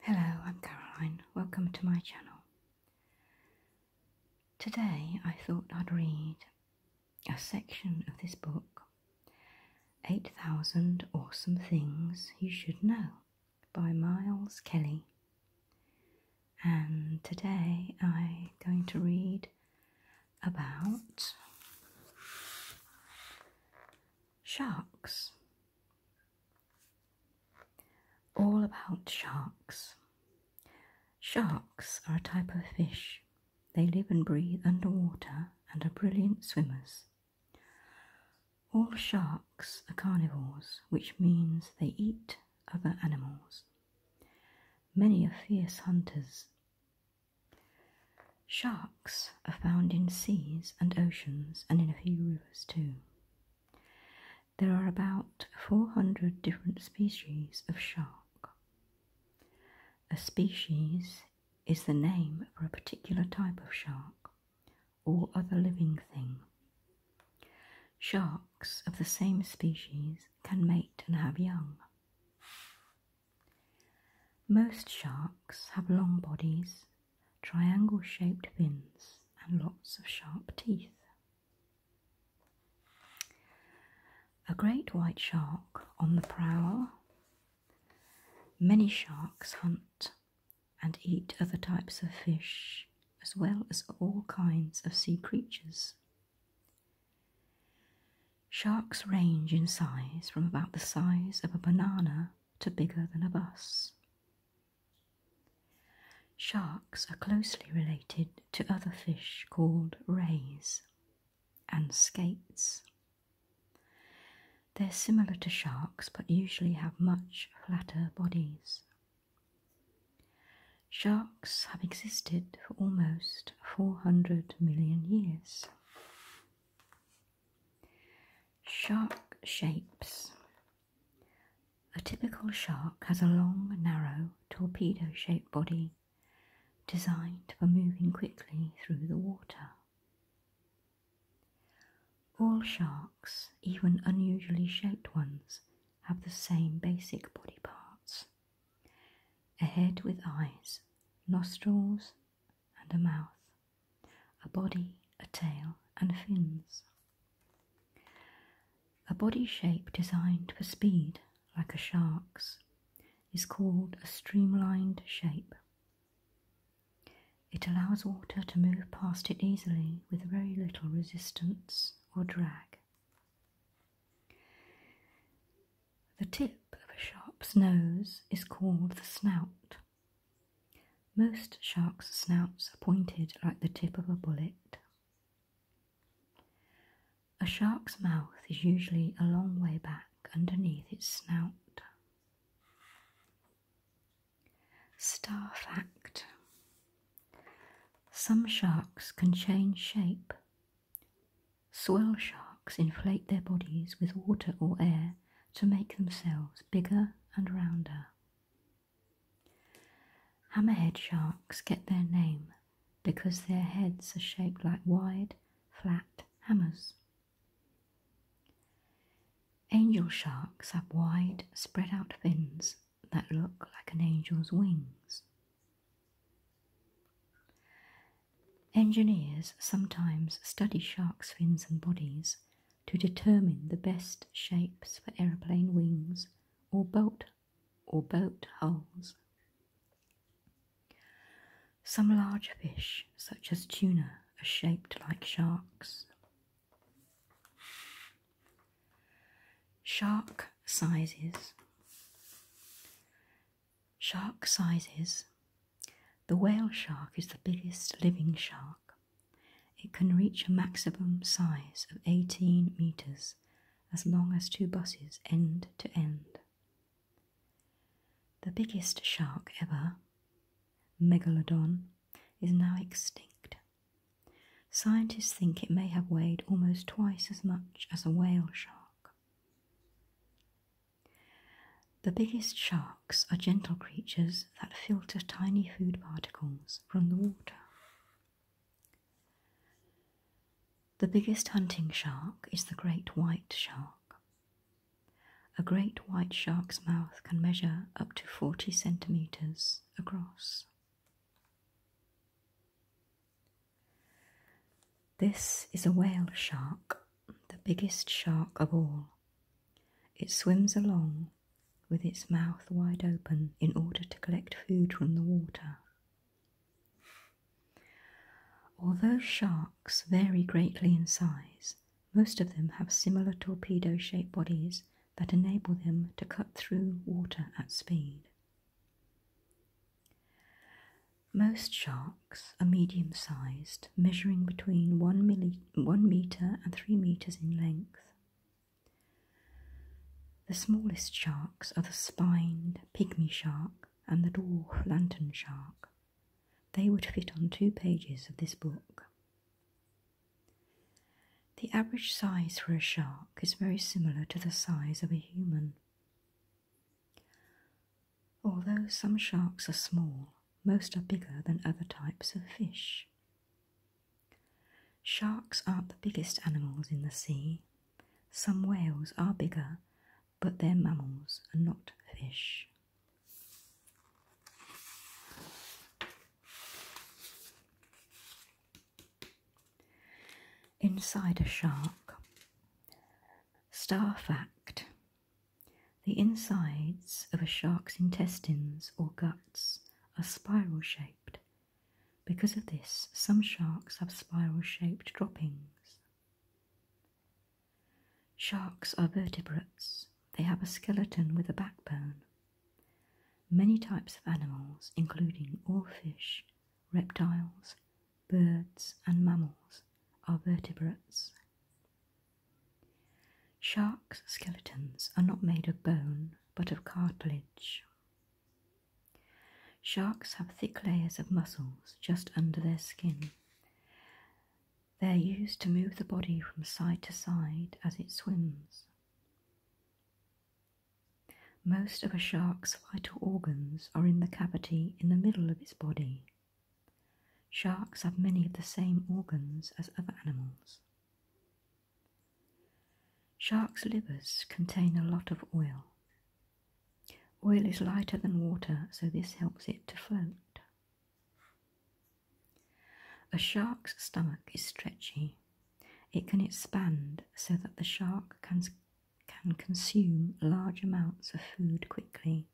Hello, I'm Caroline. Welcome to my channel. Today I thought I'd read a section of this book, 8000 Awesome Things You Should Know by Miles Kelly. And today I'm going to read about sharks. All about sharks. Sharks are a type of fish. They live and breathe underwater and are brilliant swimmers. All sharks are carnivores, which means they eat other animals. Many are fierce hunters. Sharks are found in seas and oceans and in a few rivers too. There are about 400 different species of shark. A species is the name for a particular type of shark or other living thing. Sharks of the same species can mate and have young. Most sharks have long bodies, triangle shaped fins, and lots of sharp teeth. A great white shark on the prowl. Many sharks hunt and eat other types of fish, as well as all kinds of sea creatures. Sharks range in size from about the size of a banana to bigger than a bus. Sharks are closely related to other fish called rays and skates. They're similar to sharks but usually have much flatter bodies. Sharks have existed for almost 400 million years. Shark shapes. A typical shark has a long, narrow, torpedo shaped body designed for moving quickly through the water. All sharks, even unusually shaped ones, have the same basic body parts a head with eyes, nostrils, and a mouth, a body, a tail, and fins. A body shape designed for speed, like a shark's, is called a streamlined shape. It allows water to move past it easily with very little resistance or drag. The tip of a shark's nose is called the snout. Most sharks' snouts are pointed like the tip of a bullet. A shark's mouth is usually a long way back underneath its snout. Star fact Some sharks can change shape. Swell sharks inflate their bodies with water or air to make themselves bigger and rounder. Hammerhead sharks get their name because their heads are shaped like wide, flat hammers. Angel sharks have wide, spread out fins that look like an angel's wings. Engineers sometimes study sharks' fins and bodies to determine the best shapes for aeroplane wings or boat or boat hulls. Some larger fish, such as tuna, are shaped like sharks. Shark sizes. Shark sizes the whale shark is the biggest living shark. It can reach a maximum size of 18 meters as long as two buses end to end. The biggest shark ever, Megalodon, is now extinct. Scientists think it may have weighed almost twice as much as a whale shark. The biggest sharks are gentle creatures that filter tiny food particles from the water. The biggest hunting shark is the great white shark. A great white shark's mouth can measure up to 40 centimetres across. This is a whale shark the biggest shark of all. It swims along with its mouth wide open in order to collect food from the water. Although sharks vary greatly in size, most of them have similar torpedo shaped bodies that enable them to cut through water at speed. Most sharks are medium sized, measuring between 1 mm one metre and three metres in length. The smallest sharks are the spined pygmy shark and the dwarf lantern shark. They would fit on two pages of this book. The average size for a shark is very similar to the size of a human. Although some sharks are small, most are bigger than other types of fish. Sharks aren't the biggest animals in the sea. Some whales are bigger, but they're mammals and not fish. Inside a shark. Star fact the insides of a shark's intestines or guts are spiral shaped. Because of this, some sharks have spiral shaped droppings. Sharks are vertebrates. They have a skeleton with a backbone. Many types of animals, including all fish, reptiles, birds, and mammals, are vertebrates. Sharks' skeletons are not made of bone but of cartilage. Sharks have thick layers of muscles just under their skin. They are used to move the body from side to side as it swims. Most of a shark's vital organs are in the cavity in the middle of its body, Sharks have many of the same organs as other animals. Sharks' livers contain a lot of oil. Oil is lighter than water, so this helps it to float. A shark's stomach is stretchy. It can expand so that the shark can, can consume large amounts of food quickly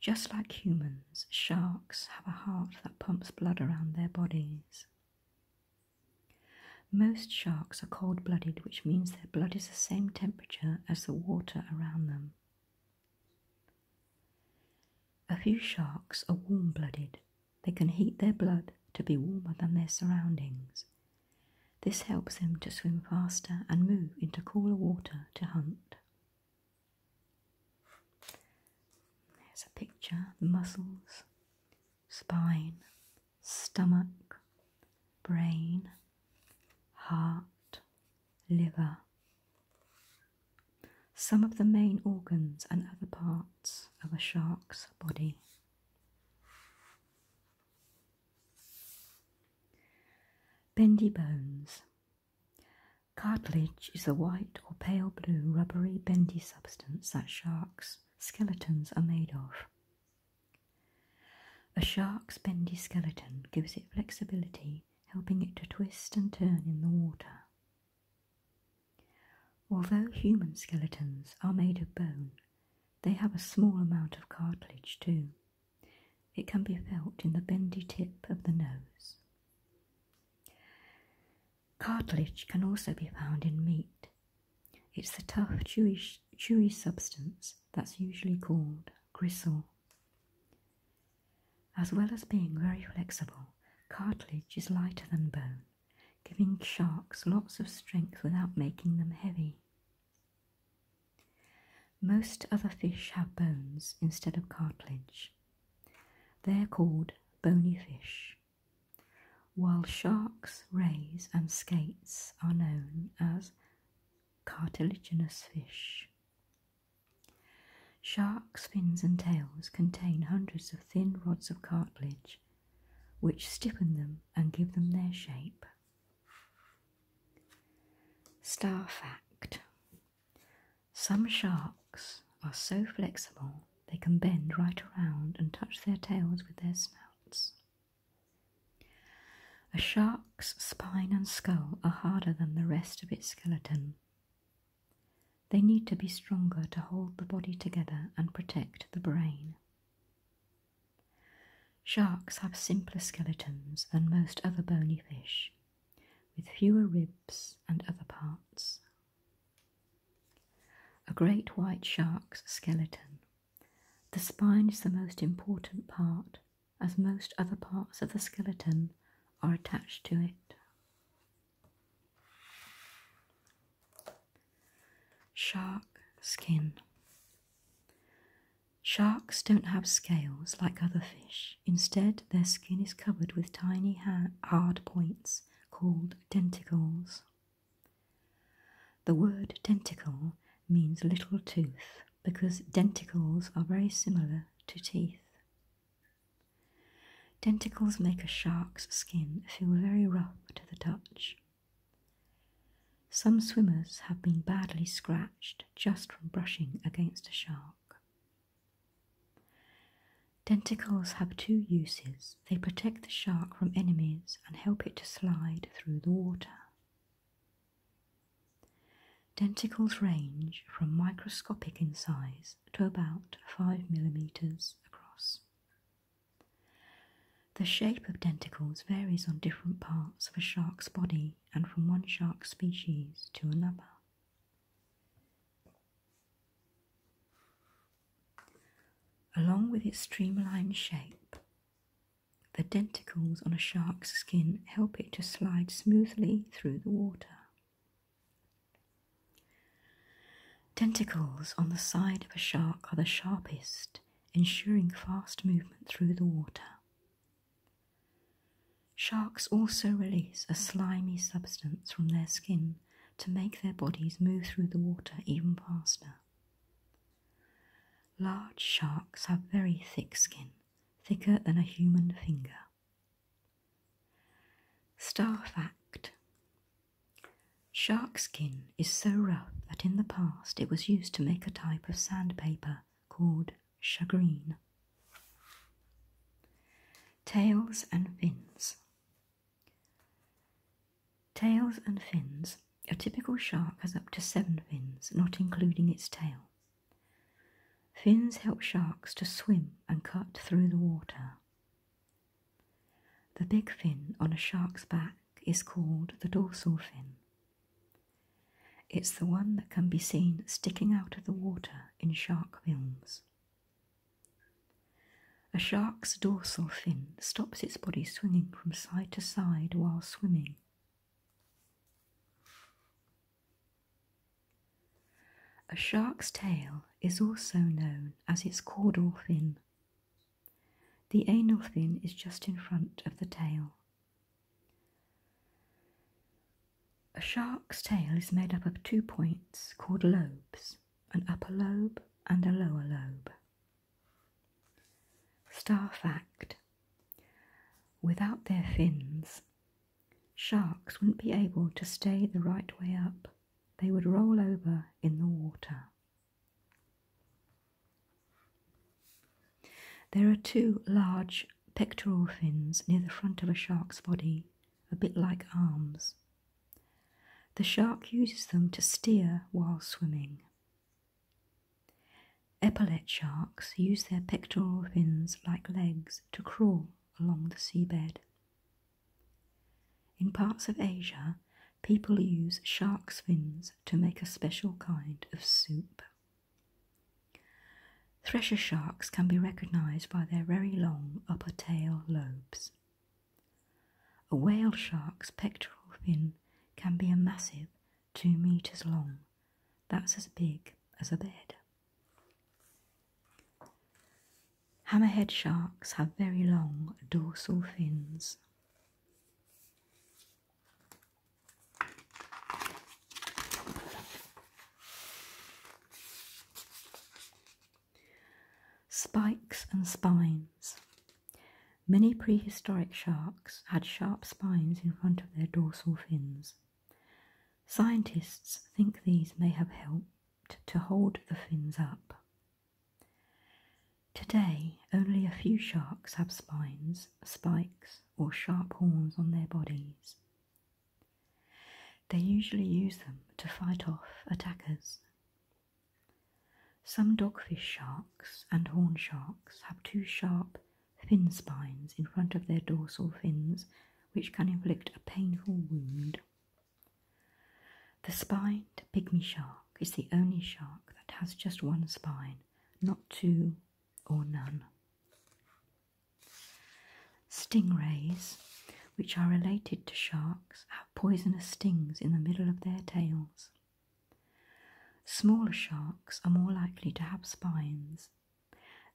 just like humans, sharks have a heart that pumps blood around their bodies. Most sharks are cold blooded, which means their blood is the same temperature as the water around them. A few sharks are warm blooded, they can heat their blood to be warmer than their surroundings. This helps them to swim faster and move into cooler water to hunt. There's a picture, the muscles, spine, stomach, brain, heart, liver. Some of the main organs and other parts of a shark's body. Bendy bones. Cartilage is a white or pale blue rubbery bendy substance that sharks' skeletons are made of. A shark's bendy skeleton gives it flexibility, helping it to twist and turn in the water. Although human skeletons are made of bone, they have a small amount of cartilage too. It can be felt in the bendy tip of the nose. Cartilage can also be found in meat. It's the tough, chewy, substance that's usually called gristle. As well as being very flexible, cartilage is lighter than bone, giving sharks lots of strength without making them heavy. Most other fish have bones instead of cartilage. They're called bony fish, while sharks, rays, and skates are known as cartilaginous fish. Sharks' fins and tails contain hundreds of thin rods of cartilage, which stiffen them and give them their shape. Star fact some sharks are so flexible they can bend right around and touch their tails with their snouts. A shark's spine and skull are harder than the rest of its skeleton. They need to be stronger to hold the body together and protect the brain. Sharks have simpler skeletons than most other bony fish with fewer ribs and other parts. A great white shark's skeleton. The spine is the most important part, as most other parts of the skeleton are attached to it. Shark skin. Sharks don't have scales like other fish. Instead, their skin is covered with tiny hard points called denticles. The word denticle means little tooth because denticles are very similar to teeth. Denticles make a shark's skin feel very rough to the touch. Some swimmers have been badly scratched just from brushing against a shark. Denticles have two uses. They protect the shark from enemies and help it to slide through the water. Denticles range from microscopic in size to about 5 millimeters across. The shape of denticles varies on different parts of a shark's body and from one shark species to another. Along with its streamlined shape, the denticles on a shark's skin help it to slide smoothly through the water. Tentacles on the side of a shark are the sharpest, ensuring fast movement through the water. Sharks also release a slimy substance from their skin to make their bodies move through the water even faster. Large sharks have very thick skin, thicker than a human finger. Star fact Shark skin is so rough that in the past it was used to make a type of sandpaper called chagrin. Tails and fins. Tails and fins. A typical shark has up to seven fins, not including its tail. Fins help sharks to swim and cut through the water. The big fin on a shark's back is called the dorsal fin. It's the one that can be seen sticking out of the water in shark films. A shark's dorsal fin stops its body swinging from side to side while swimming. A shark's tail is also known as its caudal fin. The anal fin is just in front of the tail. A shark's tail is made up of two points called lobes, an upper lobe and a lower lobe. Star fact Without their fins, sharks wouldn't be able to stay the right way up. They would roll over in the water. There are two large pectoral fins near the front of a shark's body, a bit like arms. The shark uses them to steer while swimming. Epaulet sharks use their pectoral fins like legs to crawl along the seabed. In parts of Asia, people use shark's fins to make a special kind of soup. Thresher sharks can be recognized by their very long upper tail lobes. A whale shark's pectoral fin can be a massive two meters long. That's as big as a bed. Hammerhead sharks have very long dorsal fins. Spikes and spines. Many prehistoric sharks had sharp spines in front of their dorsal fins. Scientists think these may have helped to hold the fins up. Today, only a few sharks have spines, spikes, or sharp horns on their bodies. They usually use them to fight off attackers. Some dogfish sharks and horn sharks have two sharp fin spines in front of their dorsal fins, which can inflict a painful wound. The spined pygmy shark is the only shark that has just one spine, not two or none. Stingrays, which are related to sharks, have poisonous stings in the middle of their tails. Smaller sharks are more likely to have spines.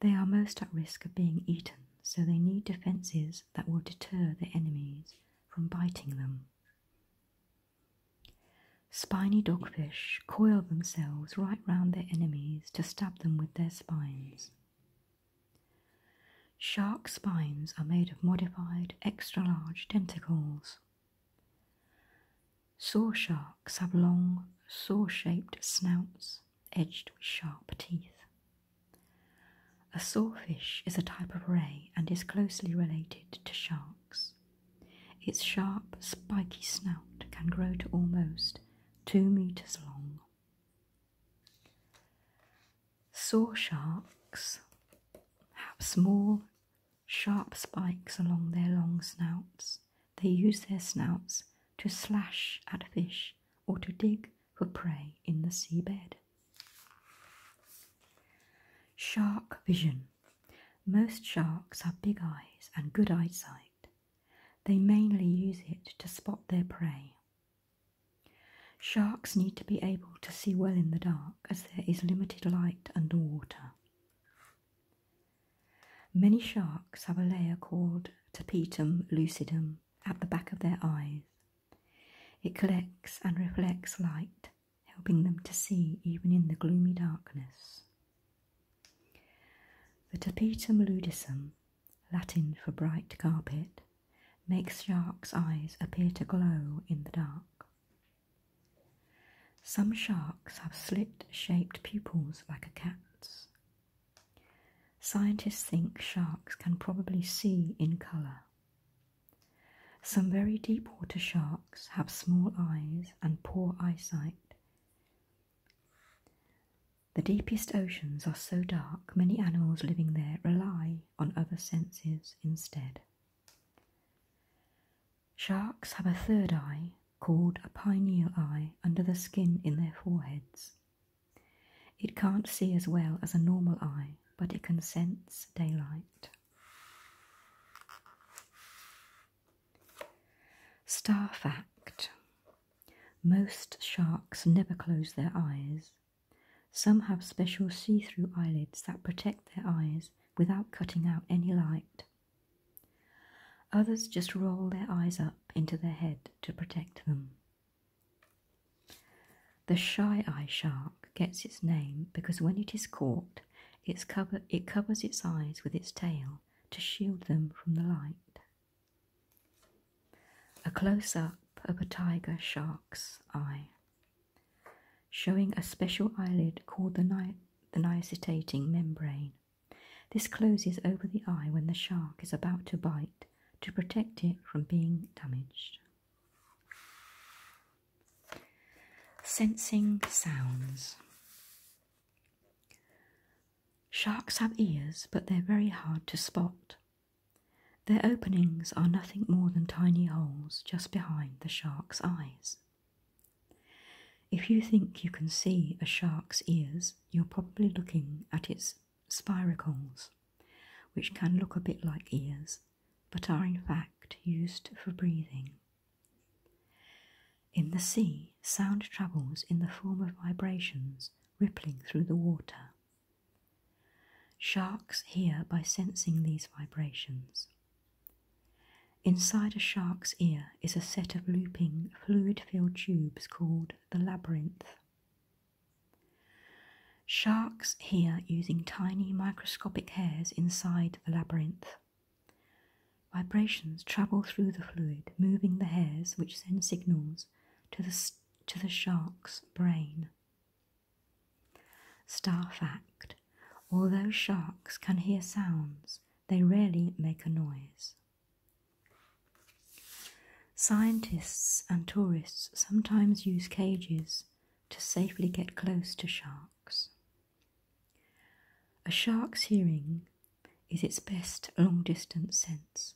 They are most at risk of being eaten, so they need defences that will deter their enemies from biting them. Spiny dogfish coil themselves right round their enemies to stab them with their spines. Shark spines are made of modified extra large tentacles. Saw sharks have long, saw shaped snouts edged with sharp teeth. A sawfish is a type of ray and is closely related to sharks. Its sharp, spiky snout can grow to almost two metres long. Saw sharks have small, sharp spikes along their long snouts. They use their snouts to slash at fish or to dig for prey in the seabed. Shark vision. Most sharks have big eyes and good eyesight. They mainly use it to spot their prey. Sharks need to be able to see well in the dark as there is limited light underwater. Many sharks have a layer called tapetum lucidum at the back of their eyes. It collects and reflects light, helping them to see even in the gloomy darkness. The tapetum lucidum Latin for bright carpet, makes sharks' eyes appear to glow in the dark. Some sharks have slit-shaped pupils like a cat's. Scientists think sharks can probably see in colour. Some very deep water sharks have small eyes and poor eyesight. The deepest oceans are so dark, many animals living there rely on other senses instead. Sharks have a third eye, called a pineal eye, under the skin in their foreheads. It can't see as well as a normal eye, but it can sense daylight. Star fact most sharks never close their eyes. Some have special see-through eyelids that protect their eyes without cutting out any light. Others just roll their eyes up into their head to protect them. The shy eye shark gets its name because when it is caught, it covers its eyes with its tail to shield them from the light. A close up of a tiger shark's eye, showing a special eyelid called the, ni membrane. This closes over the eye when the shark is about to bite to protect it from being damaged. Sensing sounds. Sharks have ears, but they're very hard to spot. Their openings are nothing more than tiny holes just behind the shark's eyes. If you think you can see a shark's ears, you're probably looking at its spiracles, which can look a bit like ears, but are in fact used for breathing. In the sea, sound travels in the form of vibrations rippling through the water. Sharks hear by sensing these vibrations. Inside a shark's ear is a set of looping, fluid filled tubes called the labyrinth. Sharks hear using tiny microscopic hairs inside the labyrinth. Vibrations travel through the fluid, moving the hairs, which send signals to the to the shark's brain. Star fact although sharks can hear sounds, they rarely make a noise. Scientists and tourists sometimes use cages to safely get close to sharks. A shark's hearing is its best long distance sense,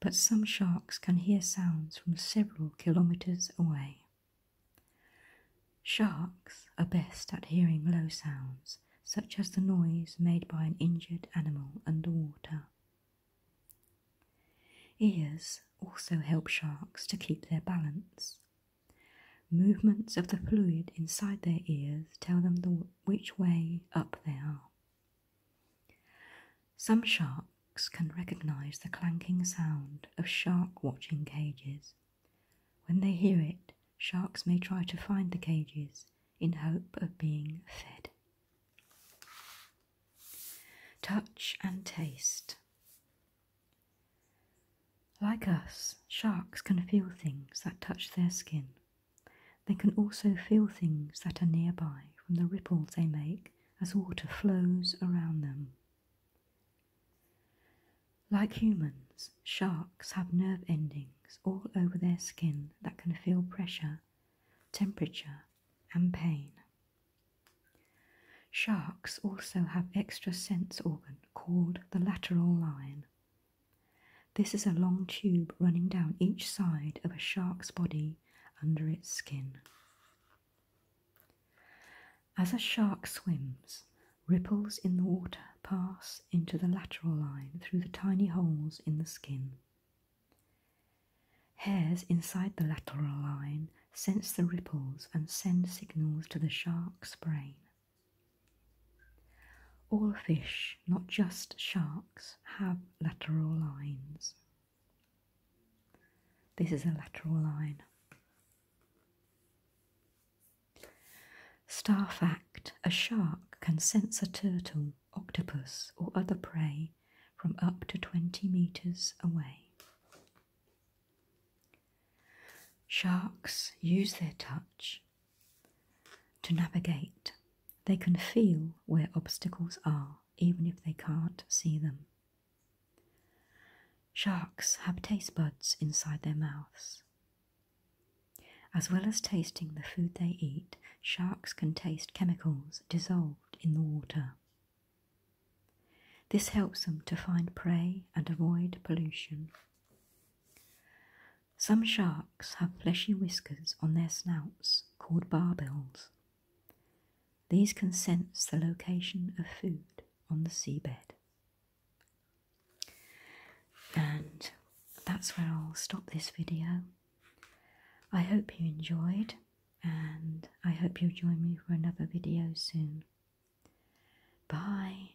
but some sharks can hear sounds from several kilometers away. Sharks are best at hearing low sounds, such as the noise made by an injured animal underwater. Ears also help sharks to keep their balance. Movements of the fluid inside their ears tell them which way up they are. Some sharks can recognize the clanking sound of shark watching cages. When they hear it, sharks may try to find the cages in hope of being fed. Touch and taste. Like us, sharks can feel things that touch their skin they can also feel things that are nearby from the ripples they make as water flows around them. Like humans, sharks have nerve endings all over their skin that can feel pressure, temperature, and pain. Sharks also have extra sense organ called the lateral line. This is a long tube running down each side of a shark's body under its skin. As a shark swims, ripples in the water pass into the lateral line through the tiny holes in the skin. Hairs inside the lateral line sense the ripples and send signals to the shark's brain. All fish, not just sharks, have lateral lines. This is a lateral line. Staff fact a shark can sense a turtle, octopus, or other prey from up to 20 metres away. Sharks use their touch to navigate, they can feel where obstacles are even if they can't see them. Sharks have taste buds inside their mouths. As well as tasting the food they eat, sharks can taste chemicals dissolved in the water. This helps them to find prey and avoid pollution. Some sharks have fleshy whiskers on their snouts called barbels these can sense the location of food on the seabed. And that's where I'll stop this video. I hope you enjoyed and I hope you'll join me for another video soon. Bye.